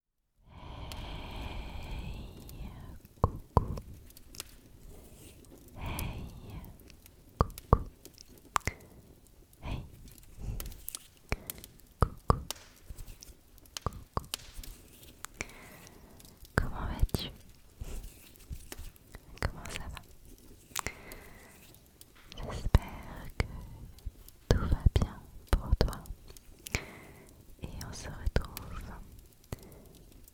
Hey, coucou. Hey, coucou. Hey, coucou. Coucou. Comment vas-tu Comment ça va J'espère que tout va bien pour toi. Et on se retrouve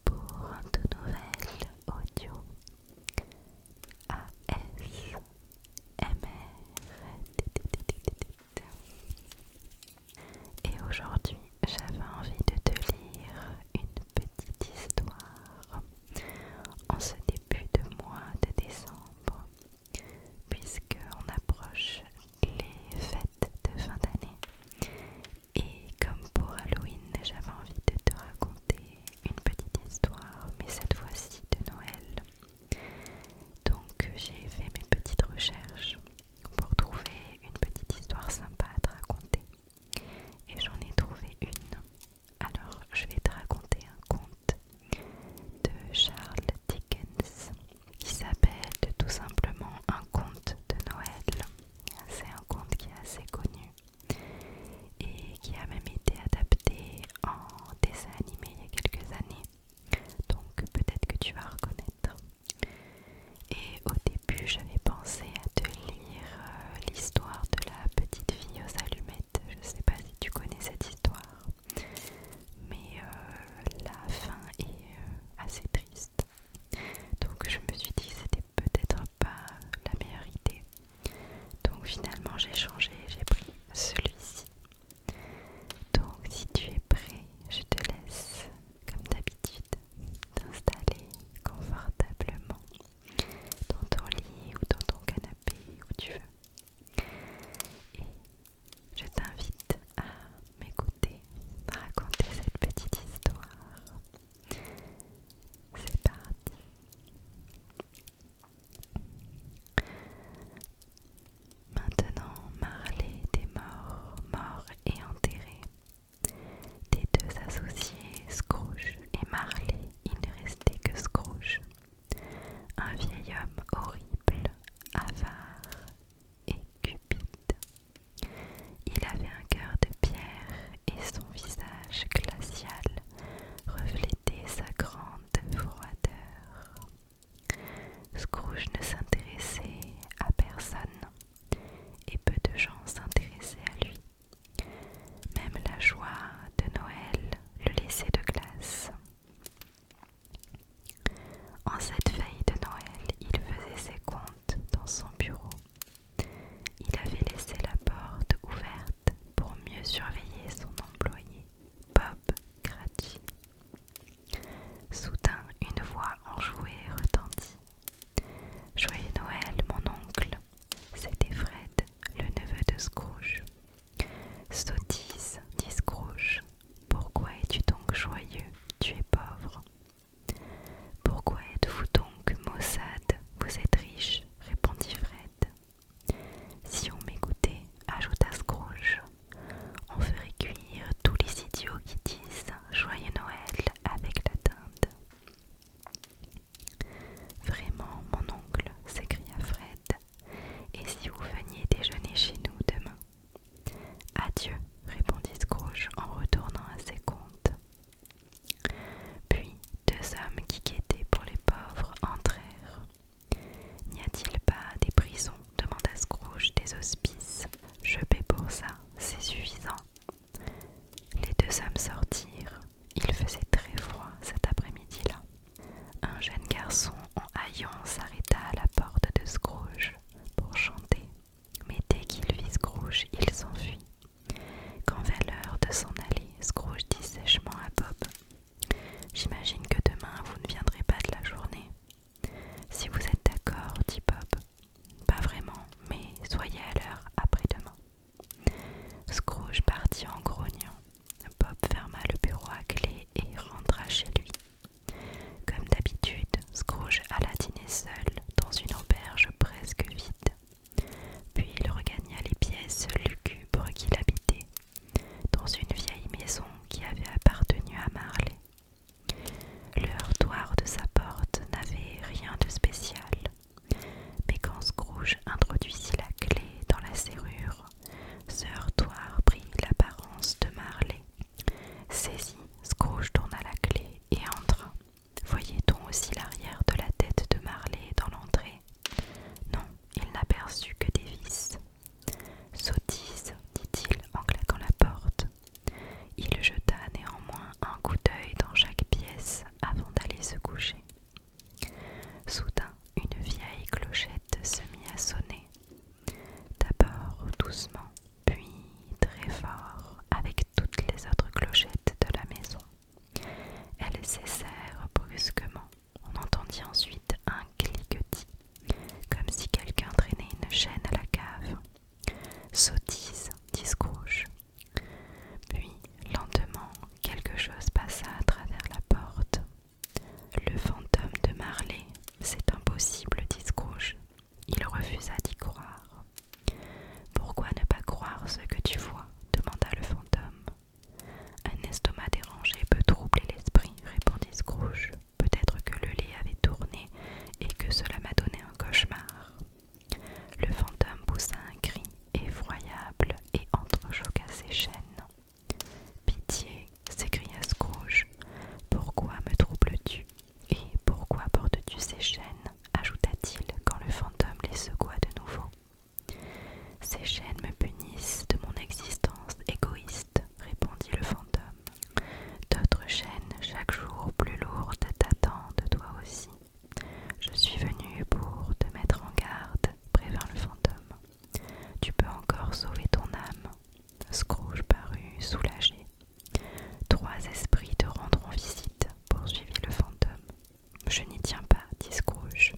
pour un tout nouvel audio ASMR. Et aujourd'hui, j'avais envie de te lire une petite histoire en ce début de mois de décembre puisque on approche les fêtes de fin d'année. Et comme pour Halloween, j'avais envie de te raconter une petite histoire, mais cette fois-ci de Noël. Donc j'ai fait mes petites recherches pour trouver une petite histoire sympa à te raconter. Et j'en ai trouvé une. Alors je vais te raconter un conte de Charles Dickens qui s'appelle tout simplement Un conte de Noël. C'est un conte qui est assez connu et qui a même été adapté en dessin animé il y a quelques années. Donc peut-être que tu vas reconnaître. Et au début, j'avais pensé à te lire euh, l'histoire de la petite fille aux allumettes. Je ne sais pas si tu connais cette histoire mais euh, la fin est euh, assez triste. Donc je me suis dit que c'était peut-être pas la meilleure idée. Donc finalement j'ai changé, j'ai pris celui-ci. Donc si tu es prêt, je te laisse comme d'habitude t'installer confortablement dans ton lit ou dans ton canapé où tu veux. Et je t'invite à m'écouter à raconter cette petite histoire. C'est parti. Maintenant, Marley des mort, mort et enterré. Des deux associés, Scrooge et Marley, il ne restait que Scrooge un vieil homme horrible, avare et cupide. Il avait un cœur de pierre et son visage glacial reflétait sa grande froideur. Scrooge ne s'intéressait à personne et peu de gens s'intéressaient à lui. Même la joie de Noël le laissait de glace. En cette veille de Noël, il faisait ses comptes dans son bureau. Il avait laissé la porte ouverte pour mieux surveiller son employé, Bob Cratchy. Soudain, une voix enjouée retentit. Joyeux Noël, mon oncle. C'était Fred, le neveu de Scrooge dit Scrooge, pourquoi es-tu donc joyeux Tu es pauvre. Pourquoi êtes-vous donc maussade Vous êtes riche, répondit Fred. Si on m'écoutait, ajouta Scrooge, on ferait cuire tous les idiots qui disent Joyeux Noël avec la dinde. Vraiment, mon oncle, s'écria Fred, et si vous veniez déjeuner chez nous demain Adieu, répondit Scrooge en retournant à ses comptes. Puis deux hommes qui guettaient pour les pauvres entrèrent. N'y a-t-il pas des prisons demanda Scrooge des hospices. Je paie pour ça, c'est suffisant. Les deux hommes sortirent. Il faisait très froid cet après-midi-là. Un jeune garçon en haillons s'arrêta à la porte de Scrooge pour chanter, mais dès qu'il vit Scrooge, il s'enfuit. Quand vint l'heure de s'en aller, Scrooge dit sèchement à Bob J'imagine que demain vous ne viendrez pas de la journée. Si vous êtes d'accord, dit Bob. Pas vraiment, mais soyez à l'heure après-demain. Scrooge partit en grognant. Bob ferma le bureau à clé et rentra chez lui. Comme d'habitude, Scrooge alla dîner seul dans une auberge presque vide. Puis il regagna les pièces lugubres qu'il habitait, dans une vieille maison qui avait appartenu à Marley. Le heurtoir de sa porte n'avait rien de spécial. Mais quand Scrooge introduisit la clé dans la serrure, ce heurtoir prit l'apparence de Marley. Saisi, Scrooge tourna la clé et entra. Voyait-on aussi l'arrière de la tête de Marley dans l'entrée Non, il n'aperçut que des vis. Sottise, dit-il en claquant la porte. Il jeta néanmoins un coup d'œil dans chaque pièce avant d'aller se coucher. Soudain, une vieille clochette se mit à sonner, d'abord doucement, puis très fort, avec toutes les autres clochettes de la maison. Elles cessèrent brusquement. On entendit ensuite un cliquetis, comme si quelqu'un traînait une chaîne à la cave. Sottise, dis puis, lentement, quelque chose passa à travers la porte. Le fantôme de Marley, c'est impossible, dit Scrooge. Il refusa d'y croire. Pourquoi ne pas croire ce que tu vois demanda le fantôme. Un estomac dérangé peut troubler l'esprit, répondit Scrooge. Peut-être que le lait avait tourné et que cela m'a donné un cauchemar. Le fantôme poussa un cri effroyable et entrechoqua ses chaînes. Pitié, s'écria Scrooge, pourquoi me troubles-tu Et pourquoi portes-tu ces chaînes ajouta-t-il quand le fantôme les secoua de nouveau. Ces chaînes me punissent de mon existence égoïste, répondit le fantôme. D'autres chaînes, chaque jour plus lourdes, t'attendent toi aussi. Je suis venu pour te mettre en garde, prévint le fantôme. Tu peux encore sauver ton âme. Scrooge parut soulagé. Trois esprits te rendront visite, poursuivit le fantôme. Je n'y tiens pas, dit Scrooge.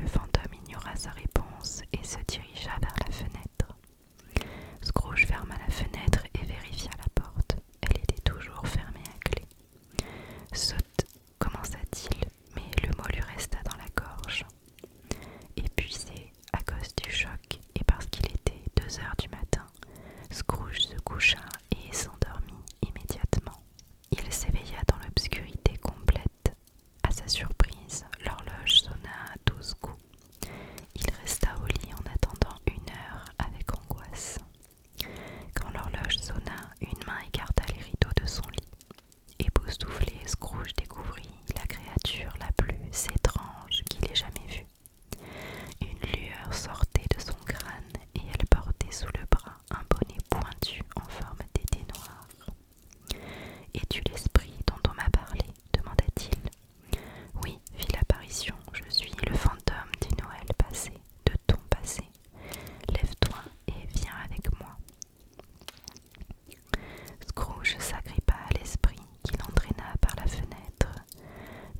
Le fantôme ignora sa réponse et se dirigea vers la fenêtre. Scrooge ferma la fenêtre et vérifia la porte. Elle était toujours fermée à clé. Saute, commença-t-il, mais le mot lui resta dans la gorge. Épuisé à cause du choc et parce qu'il était deux heures du matin, Scrooge se coucha et s'endormit immédiatement. Il s'éveilla dans l'obscurité complète. À sa surprise, l'horloge sonna à douze coups. Il resta au lit en attendant une heure avec angoisse. Quand l'horloge sonna, une main écarta les rideaux de son lit. Époustouflé, Scrooge découvrit la créature la plus étrange qu'il ait jamais vue. Une lueur sortait de son crâne et elle portait sous le bras un bonnet pointu en forme d'été noir. Es-tu l'esprit dont on m'a parlé demanda-t-il. Oui, fit l'apparition, je suis le fantôme du Noël passé de ton passé. Lève-toi et viens avec moi. Scrooge s'agrippa à l'esprit qui l'entraîna par la fenêtre,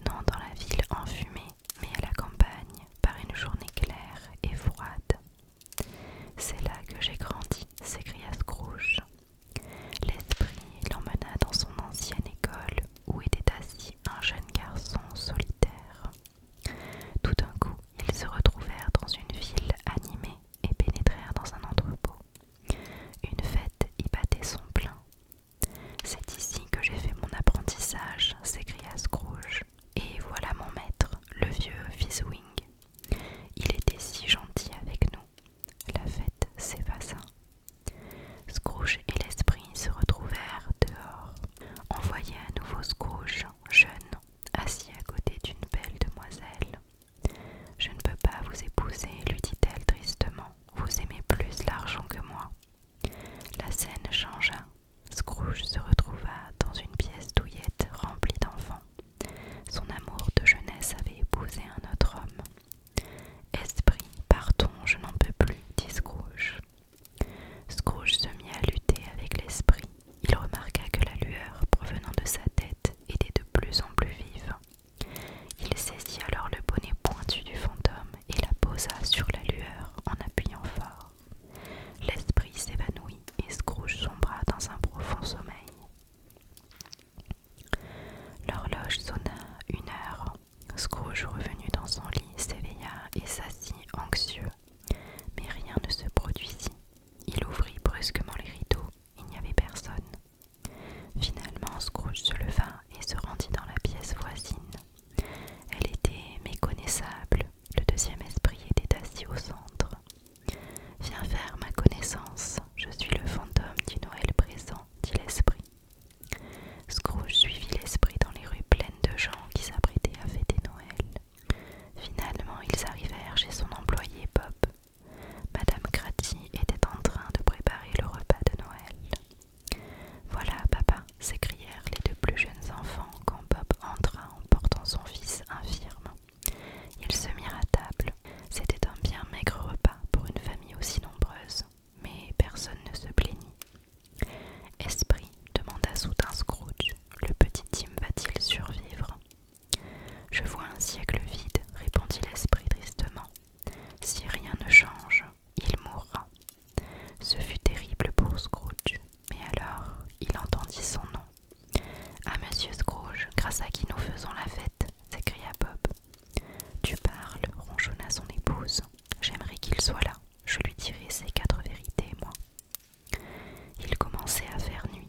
non dans la ville enfumée, mais à la campagne, par une journée claire et froide. C'est là que j'ai grandi, s'écria Scrooge. L'esprit l'emmena dans son ancienne école où était assis un jeune garçon solitaire. Tout d'un coup, ils se retrouvèrent dans une ville animée et pénétrèrent dans un entrepôt. Une fête y battait son plein. C'est ici que j'ai fait mon apprentissage, s'écria Scrooge. Et voilà mon maître, le vieux Fizzwing. Il était si gentil avec nous. La fête s'effaça Scrooge et l'esprit se retrouvèrent dehors. On voyait à nouveau Scrooge, jeune, assis à côté d'une belle demoiselle. Je ne peux pas vous épouser, lui dit-elle tristement. Vous aimez plus l'argent que moi. La scène changea. Scrooge se retrouva dans une pièce douillette remplie d'enfants. Son amour de jeunesse avait épousé un autre homme. Esprit, partons, je n'en peux plus, dit Scrooge. Scrooge se mit à lutter avec l'esprit. Il remarqua que la lueur provenant de sa tête était de plus en plus vive. Il saisit alors le bonnet pointu du fantôme et la posa sur la lueur en appuyant fort. L'esprit s'évanouit et Scrooge sombra dans un profond sommeil. L'horloge sonna une heure. Scrooge, revenu dans son lit, s'éveilla et s'assit anxieux. Mais rien ne se produisit. Il ouvrit brusquement les rideaux. Il n'y avait personne. Finalement, Scrooge se leva et se rendit dans la pièce voisine. Elle était méconnaissable. Le deuxième esprit était assis au centre. Viens faire ma connaissance. Je suis le fantôme du Noël présent, dit l'esprit. Scrooge suivit l'esprit dans les rues pleines de gens qui s'apprêtaient à fêter Noël. Finalement, ils arrivèrent chez son employé Bob. Madame Grati était en train de préparer le repas de Noël. Voilà, papa, s'écrièrent les deux plus jeunes enfants quand Bob entra en portant son fils infirme. Ils se mirent à table. C'était un bien maigre repas pour une famille aussi nombreuse mais personne ne se plaignit. Esprit, demanda soudain Scrooge, le petit Tim va-t-il survivre Je vois un siècle vide, répondit l'esprit tristement. Si rien ne change, il mourra. Ce fut terrible pour Scrooge, mais alors il entendit son nom. À ah, monsieur Scrooge, grâce à qui nous faisons la fête s'écria Bob. Tu parles, ronchonna son épouse. J'aimerais qu'il soit là. Je lui dirai ces quatre vérités, moi. Il commençait à faire nuit.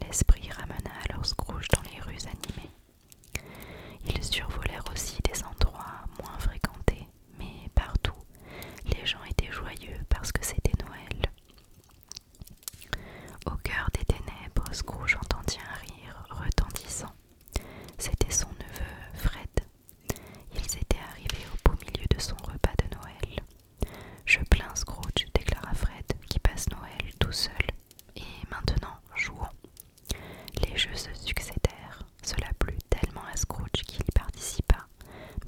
L'esprit ramena alors Scrooge dans les rues animées. Ils survolèrent aussi des endroits moins fréquentés, mais partout, les gens étaient joyeux parce que c'était Noël. Au cœur des ténèbres, Scrooge entendit un rire retentissant. C'était son neveu Fred. Ils étaient arrivés au beau milieu de son repas de Noël. Je plains Scrooge, déclara Fred, qui passe Noël tout seul. Et maintenant, jouons. Les jeux se succédèrent. Cela plut tellement à Scrooge qu'il y participa,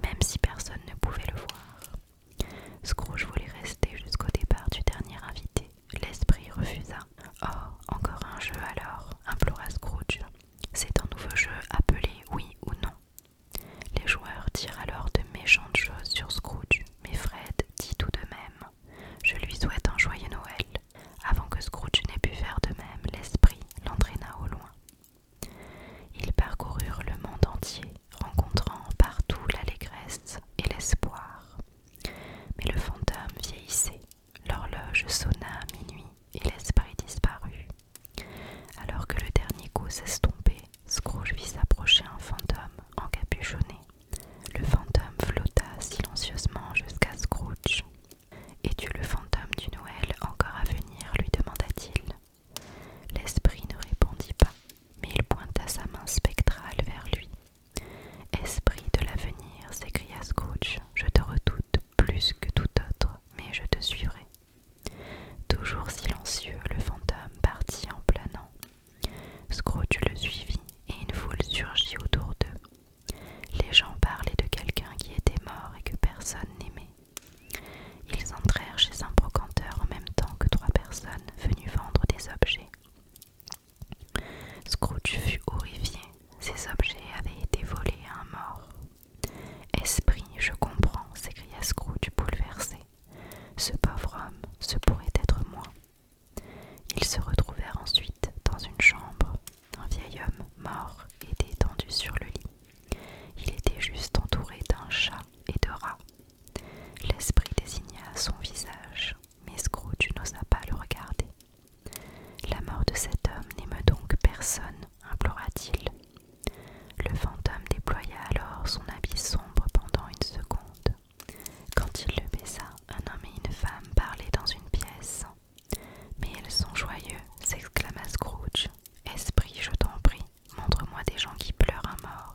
même si personne ne pouvait le voir. Scrooge voulait rester jusqu'au départ du dernier invité, L'esprit refusa. Oh, encore un jeu alors, implora Scrooge. C'est un nouveau jeu appelé oui ou non. Les joueurs dirent alors de méchantes choses sur Scrooge, mais Fred dit tout de même Je lui souhaite un joyeux Noël. Avant que Scrooge n'ait pu faire de même, l'esprit l'entraîna au loin. Ils parcoururent le monde entier, rencontrant partout l'allégresse et l'espoir. Mais le fantôme vieillissait, l'horloge sonna à minuit et l'esprit disparut. Alors que le dernier coup s'estompait, Scrooge vit s'approcher un fantôme encapuchonné. Le fantôme flotta silencieusement jusqu'à Scrooge. Es-tu le fantôme du Noël encore à venir lui demanda-t-il. L'esprit ne répondit pas, mais il pointa sa main spectrale vers lui Esprit de l'avenir, s'écria Scrooge, je te redoute plus que tout autre, mais je te suivrai. Toujours silencieux, le fantôme partit en planant. Scrooge le suivit, et une foule surgit autour d'eux. Les gens parlaient de quelqu'un qui était mort et que personne n'aimait. Ils entrèrent chez un brocanteur en même temps que trois personnes venues vendre des objets. Scrooge fut horrifié. Ces objets avaient été volés à un mort. Esprit, je comprends, s'écria Scrooge bouleversé. Ce pauvre homme, ce pourrait être moi. Ils se retrouvèrent ensuite dans une chambre. Un vieil homme mort était étendu sur le lit. Il était juste entouré d'un chat et de rats. L'esprit désigna son visage, mais Scrooge n'osa pas le regarder. La mort de cet homme n'aime donc personne, implora-t-il. Le fantôme déploya alors son habit sombre pendant une seconde. Quand il le baissa, un homme et une femme parlaient dans une pièce. Mais elles sont joyeux, s'exclama Scrooge. Esprit, je t'en prie, montre-moi des gens qui pleurent à mort.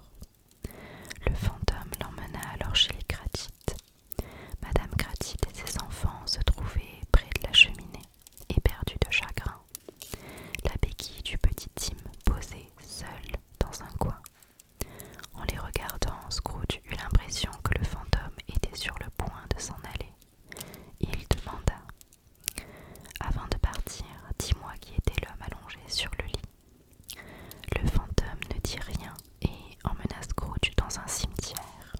Le fantôme l'emmena alors chez les Gratites. Madame Gratite et ses enfants se trouvaient près de la cheminée, éperdus de chagrin. La béquille du petit Tim posée seule dans un coin. En les regardant, Scrooge eut l'impression que le fantôme était sur le point de s'en aller. Il demanda Avant de partir, dis-moi qui était l'homme allongé sur le lit. Le fantôme ne dit rien et emmena Scrooge dans un cimetière.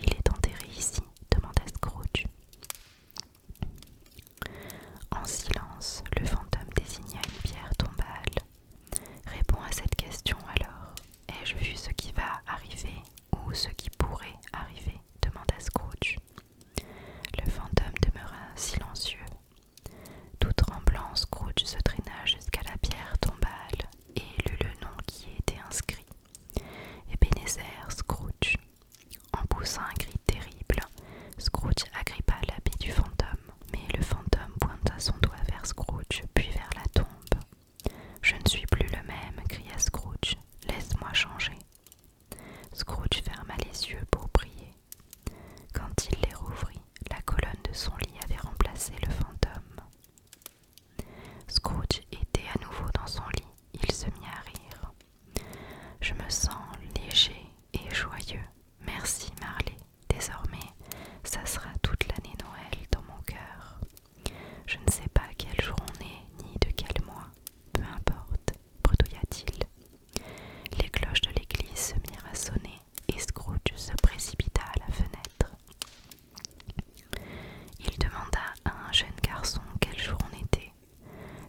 Il est enterré ici demanda Scrooge. En silence, le fantôme désigna une pierre tombale. Réponds à cette question alors. Ai-je vu ce qui va arriver ou ce qui pourrait arriver demanda Scrooge. Le fantôme demeura silencieux tout tremblant, Scrooge se traîna jusqu'à la pierre tombale et lut le nom qui y était inscrit. Ebenezer Scrooge. En poussant un cri terrible, Scrooge agrippa l'habit du fantôme, mais le fantôme pointa son doigt vers Scrooge, puis vers la tombe. Je ne suis plus le même, cria Scrooge. Laisse-moi changer. Scrooge ferma les yeux pour prier. Quand il les rouvrit, la colonne de son lit avait remplacé le fantôme. Scrooge était à nouveau dans son lit. Il se mit à rire. Je me sens léger et joyeux. Merci Marley. Désormais, ça sera toute l'année Noël dans mon cœur. Je ne sais pas quel jour on est, ni de quel mois. Peu importe, bredouilla-t-il. Les cloches de l'église se mirent à sonner et Scrooge se précipita à la fenêtre. Il demanda à un jeune garçon quel jour on était.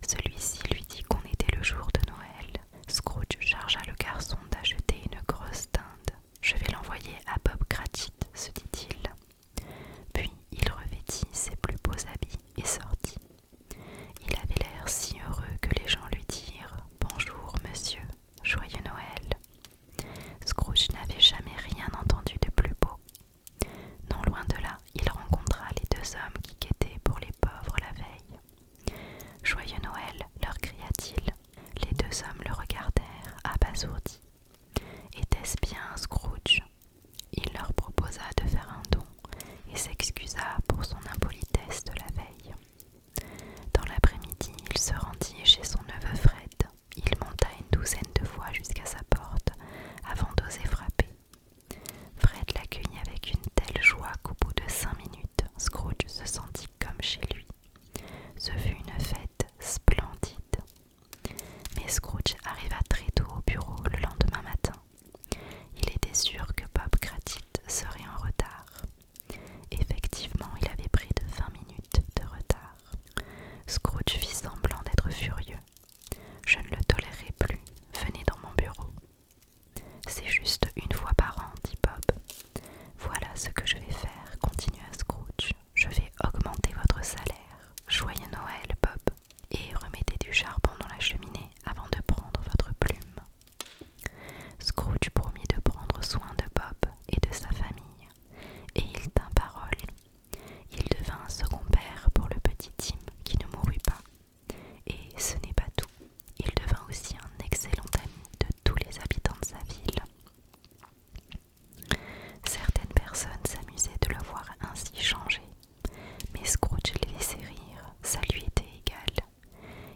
Celui-ci lui dit qu'on était le jour de Noël. Scrooge chargea le garçon d'acheter une grosse dinde. Je vais l'envoyer à Bob Cratchit, se dit-il. Puis il revêtit ses plus beaux habits et sortit. Il avait l'air si heureux que les gens lui dirent Bonjour, monsieur, joyeux Noël. Scrooge n'avait jamais rien entendu de plus beau. Non loin de là, il rencontra les deux hommes qui guettaient pour les pauvres la veille. Joyeux Noël, leur cria-t-il. Les deux hommes le regardèrent, abasourdis. Était-ce bien Scrooge il leur proposa de faire un don et s'excusa pour son impolitesse de la veille. Dans l'après-midi, il se rendit chez son neveu Fred. Il monta une douzaine de fois jusqu'à sa porte avant d'oser frapper. Fred l'accueillit avec une telle joie qu'au bout de cinq minutes, Scrooge se sentit comme chez lui. Ce fut une fête splendide. Mais Scrooge arriva très tôt au bureau le lendemain matin. Il était sûr que Bob Gratitude serait en retard. Effectivement, il avait pris de 20 minutes de retard. Scrooge fit semblant d'être furieux. Je ne le tolérerai plus. Venez dans mon bureau. C'est juste une fois par an, dit Bob. Voilà ce que je vais faire, continua Scrooge. Je vais augmenter votre salaire. Joyeux Noël, Bob et remettez du charbon dans la cheminée avant de prendre votre plume. Scrooge promit de prendre soin de Bob et de sa famille, et il tint parole. Il devint un second père pour le petit Tim qui ne mourut pas. Et ce n'est pas tout, il devint aussi un excellent ami de tous les habitants de sa ville. Certaines personnes s'amusaient de le voir ainsi changer mais Scrooge les laissait rire, ça lui était égal.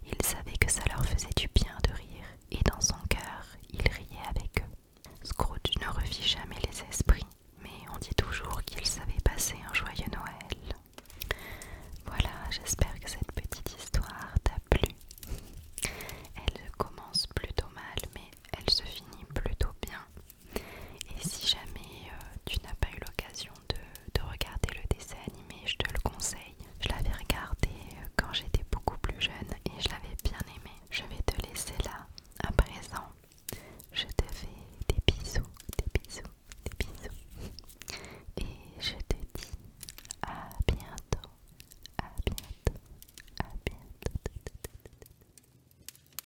Il savait que ça leur faisait du bien de rire, et dans son cœur, il riait avec eux. Scrooge ne revit jamais les esprits, mais on dit toujours qu'il savait passer un joyeux Noël. Voilà, j'espère que cette petite histoire t'a plu. Elle commence plutôt mal, mais elle se finit plutôt bien. Et si jamais euh, tu n'as pas eu l'occasion de, de regarder le dessin animé, je te le conseille. Je l'avais regardé euh, quand j'étais beaucoup plus jeune et je l'avais bien aimé. Je vais te laisser là à présent. Je te fais des bisous, des bisous, des bisous. Et je te dis à bientôt, à bientôt, à bientôt.